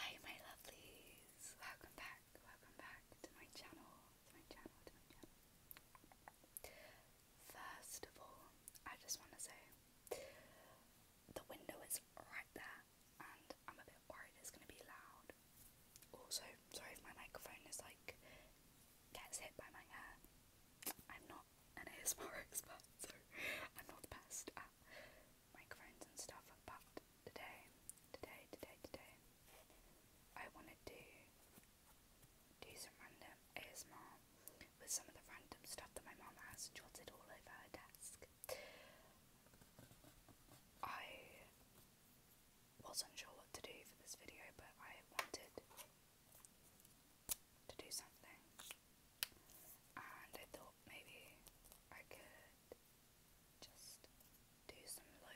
Hi my lovelies, welcome back, welcome back to my channel, to my channel, to my channel. First of all, I just want to say the window is right there and I'm a bit worried it's going to be loud. Also, sorry if my microphone is like, gets hit by my hair. I'm not an ASMR expert, so I'm not the best at microphones and stuff, but today, today, today, today, I want to do, some random with some of the random stuff that my mum has jotted all over her desk. I wasn't sure what to do for this video, but I wanted to do something and I thought maybe I could just do some lo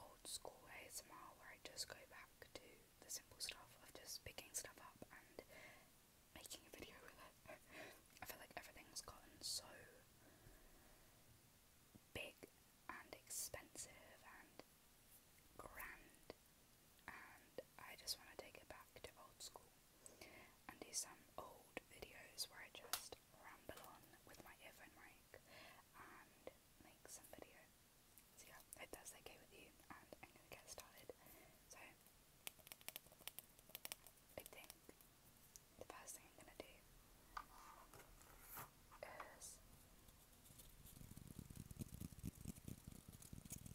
old school where I just go back to the simple stuff of just picking stuff up and making a video with it. I feel like everything's gotten so big and expensive and grand and I just want to take it back to old school and do some old videos where I just ramble on with my earphone mic and make some video. So yeah, I hope that's okay with you and I'm gonna get started. So I think the first thing I'm gonna do is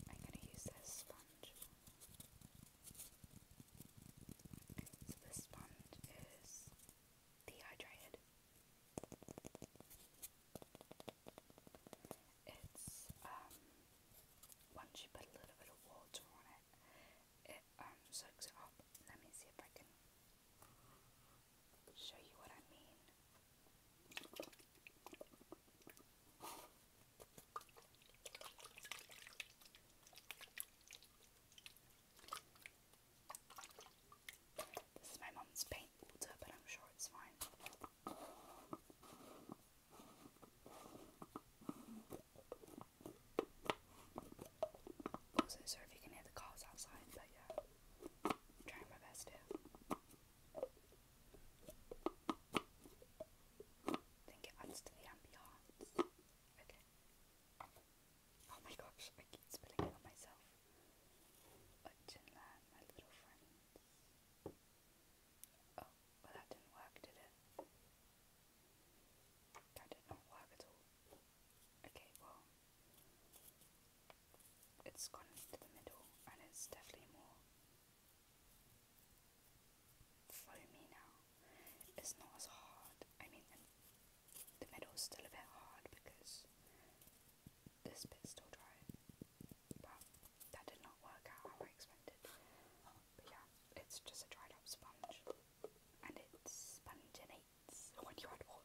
I'm gonna use this sponge so this sponge is dehydrated. It's um once you put a little bit of water on it, it um soaks it up. Let me see if I can show you what I mean. This is my mum's paint water, but I'm sure it's fine. sorry if you can hear the cars outside, but yeah, trying my best here think it adds to the ambiance. Okay. Oh my gosh, I keep spilling it on myself. Uh, my little friends. Oh, well that didn't work, did That did not work at all. Okay, well, it's gone into the middle and it's definitely more for me now it's not as hard. I mean, the middle's still a bit hard because this bit's still dry, but that did not work out how I expected. But yeah, it's just a dried up sponge, and it's sponginates when you add water.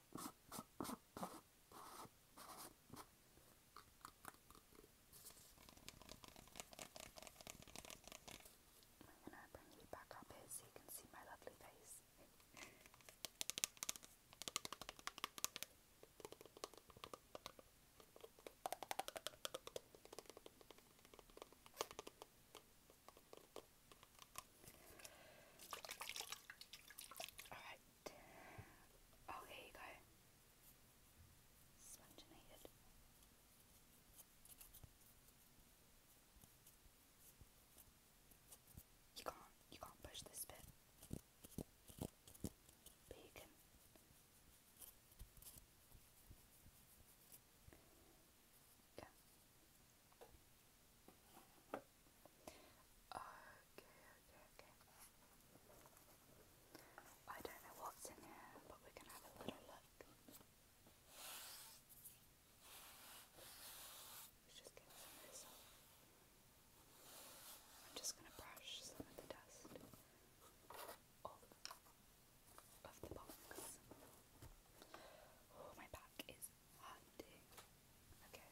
I'm gonna bring you back up here so you can see my lovely face. Alright, Oh, here you go. You can't, you can't push this bit. But you can. Yeah. Okay, okay, okay. I don't know what's in here, but we're gonna have a little look. I'm just gonna brush some of the dust off of the box. Oh, my back is hurting. Okay.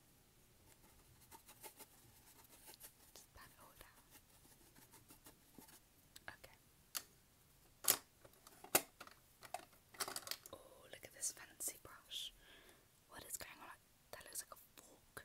Okay. Oh, look at this fancy brush. What is going on? That looks like a fork.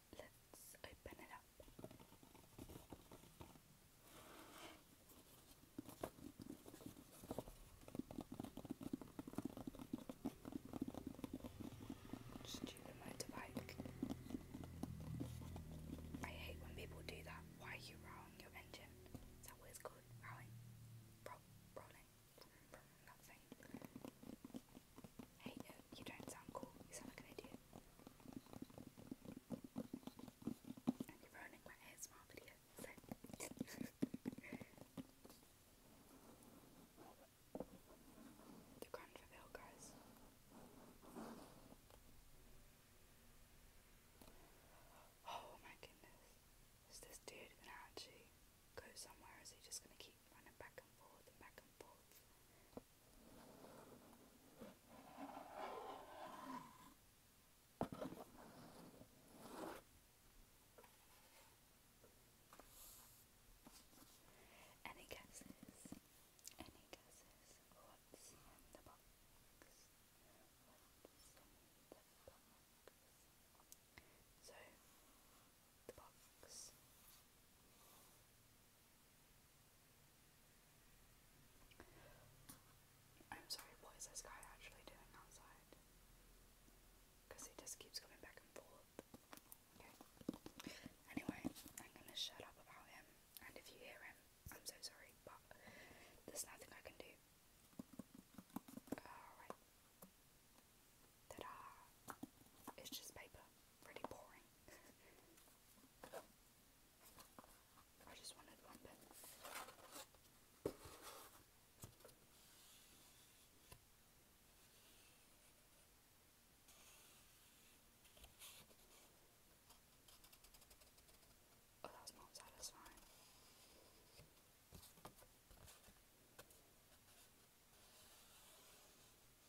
let's open it up. Just motorbike. I hate when people do that. Why are you rowing your engine? Is that what it's called? rolling? Hey, no, you don't sound cool. You sound like an idiot. And you're ruining guys. Oh my goodness. Is this dude gonna actually go somewhere is he just gonna keep running back and forth and back and forth? Any guesses? Any guesses? What's in the box? So, the box I'm sorry, what is this guy actually doing outside? Because he just keeps coming back and forth. Okay. Anyway, I'm gonna shut up about him. And if you hear him, I'm so sorry, but there's nothing I can do. Alright. Ta-da! It's just paper. Pretty boring. I just wanted one bit. Oh, not satisfying.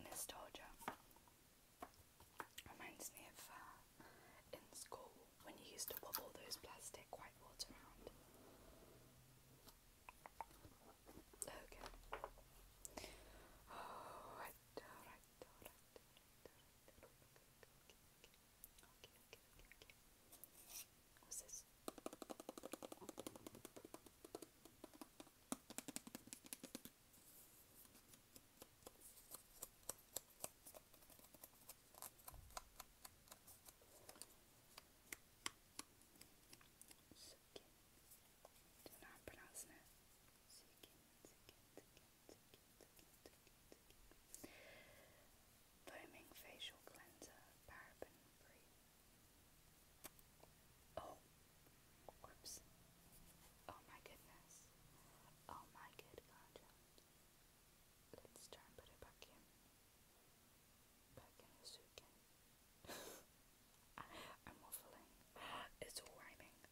Nostalgia reminds me of in school when you used to wobble those plastic whiteboards around. Okay. Oh, right, all right, all right, all right, all right, all right, all right, all right, all right, all right, Okay, okay, Do you know how I'm pronouncing it? Suki, Suki, Foaming facial cleanser, paraben free. Oh, whoops! Oh my goodness! Oh my good God! Let's try put it back in. Back in the suitcase. I'm waffling. It's all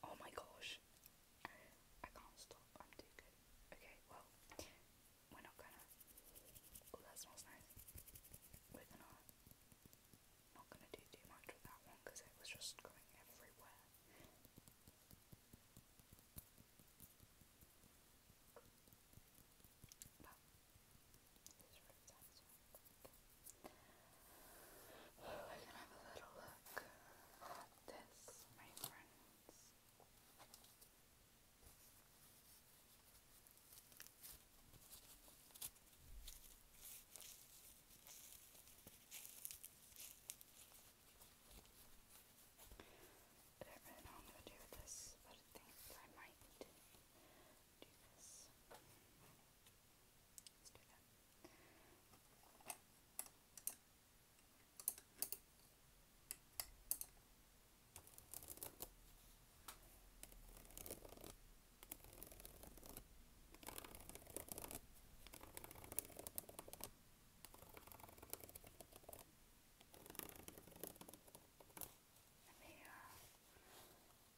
Oh my gosh! I can't stop, I'm too good. Okay, well, we're not gonna. Oh, that smells nice. We're gonna. Not gonna do too much with that one because it was just going everywhere. We're gonna have a little look at this, my friends. I don't really know what I'm going to do with this, but I think I might do this. Let's do that. Let me uh,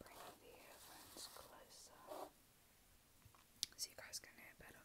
bring the earphones closer so you guys can hear better.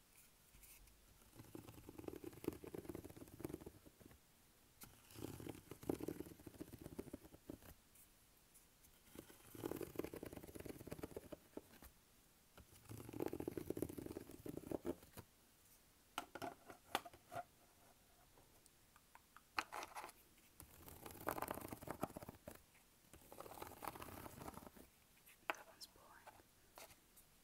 That one's boring.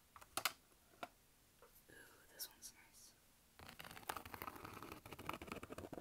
Ooh, this one's nice. Oh,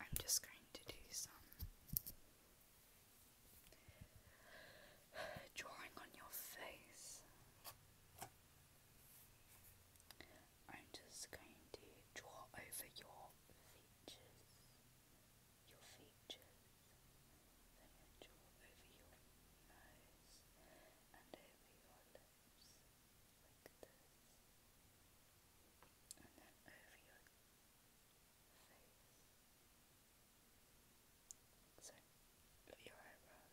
I'm just going to do some drawing on your face. I'm just going to draw over your features. Your features. So I'm draw over your nose and over your lips like this, and then over your face. So, look your eyebrows.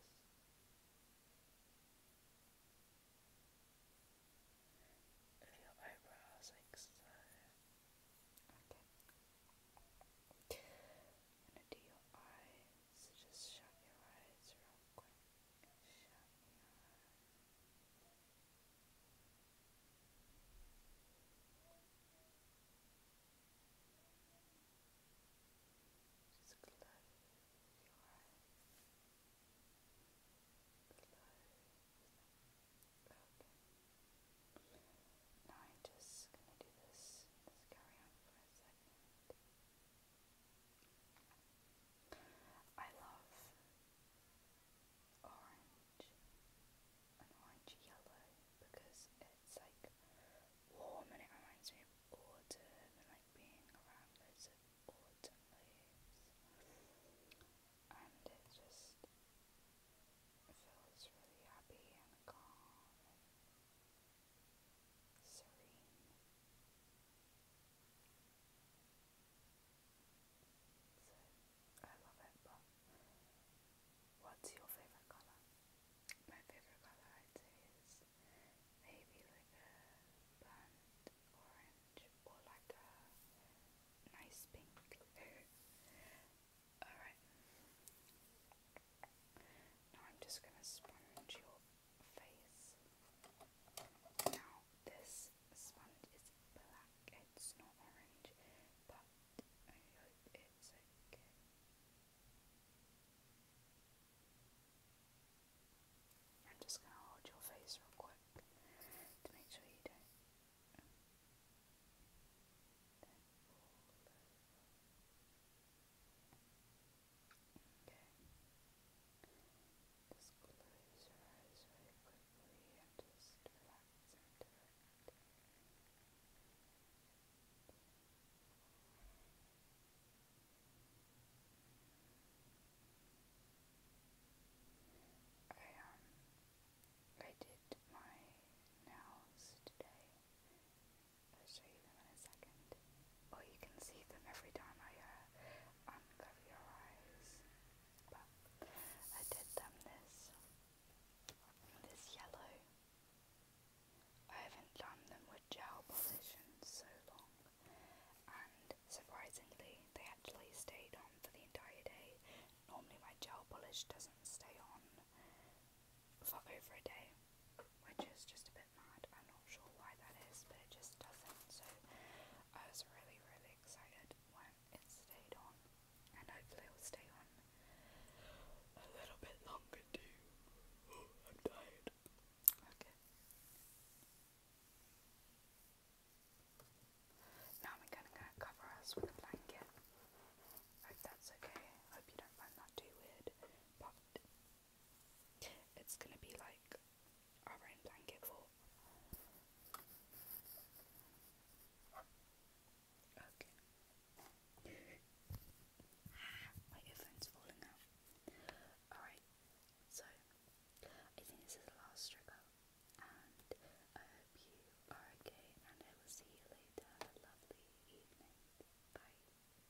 Look your eyebrows like so. Okay. I'm your eye. So just shut your eyes real quick. Just close your eyes. Okay. Now I'm just gonna do this. Let's carry on for a second. I love orange and orange yellow because it's like warm and it reminds me of autumn and like being around loads autumn leaves and it just feels really happy and calm serene, so I love it, but what's your favourite colour? My favourite is maybe like a burnt orange or like a nice pink. Alright, now I'm just going to sponge your face. Now, this sponge is black, it's not orange, but it's okay. I'm just going to hold your face real quick to make sure you don't. Um, Okay. Just close your eyes very quickly and just relax into it. I um I did my nails today I'll show you them in a second. Or oh, you can see them every time I uh, uncover your eyes. But I did them this, this yellow. I haven't done them with gel polish so long. And surprisingly, they actually stayed on for the entire day. Normally my gel polish doesn't stay on for over a day, which is just a bit I'm not sure why that is, but it just doesn't. So I was really, really excited when it stayed on, and hopefully it will stay on a little bit longer too. I'm tired. Okay. Now I'm gonna cover us with a blanket. Hope that's okay. Hope you don't find that too weird. But it's gonna be like our own blanket fort. Okay. My earphone's falling out. Alright, so I think this is the last struggle, and I hope you are okay, and I will see you later. lovely evening. Bye.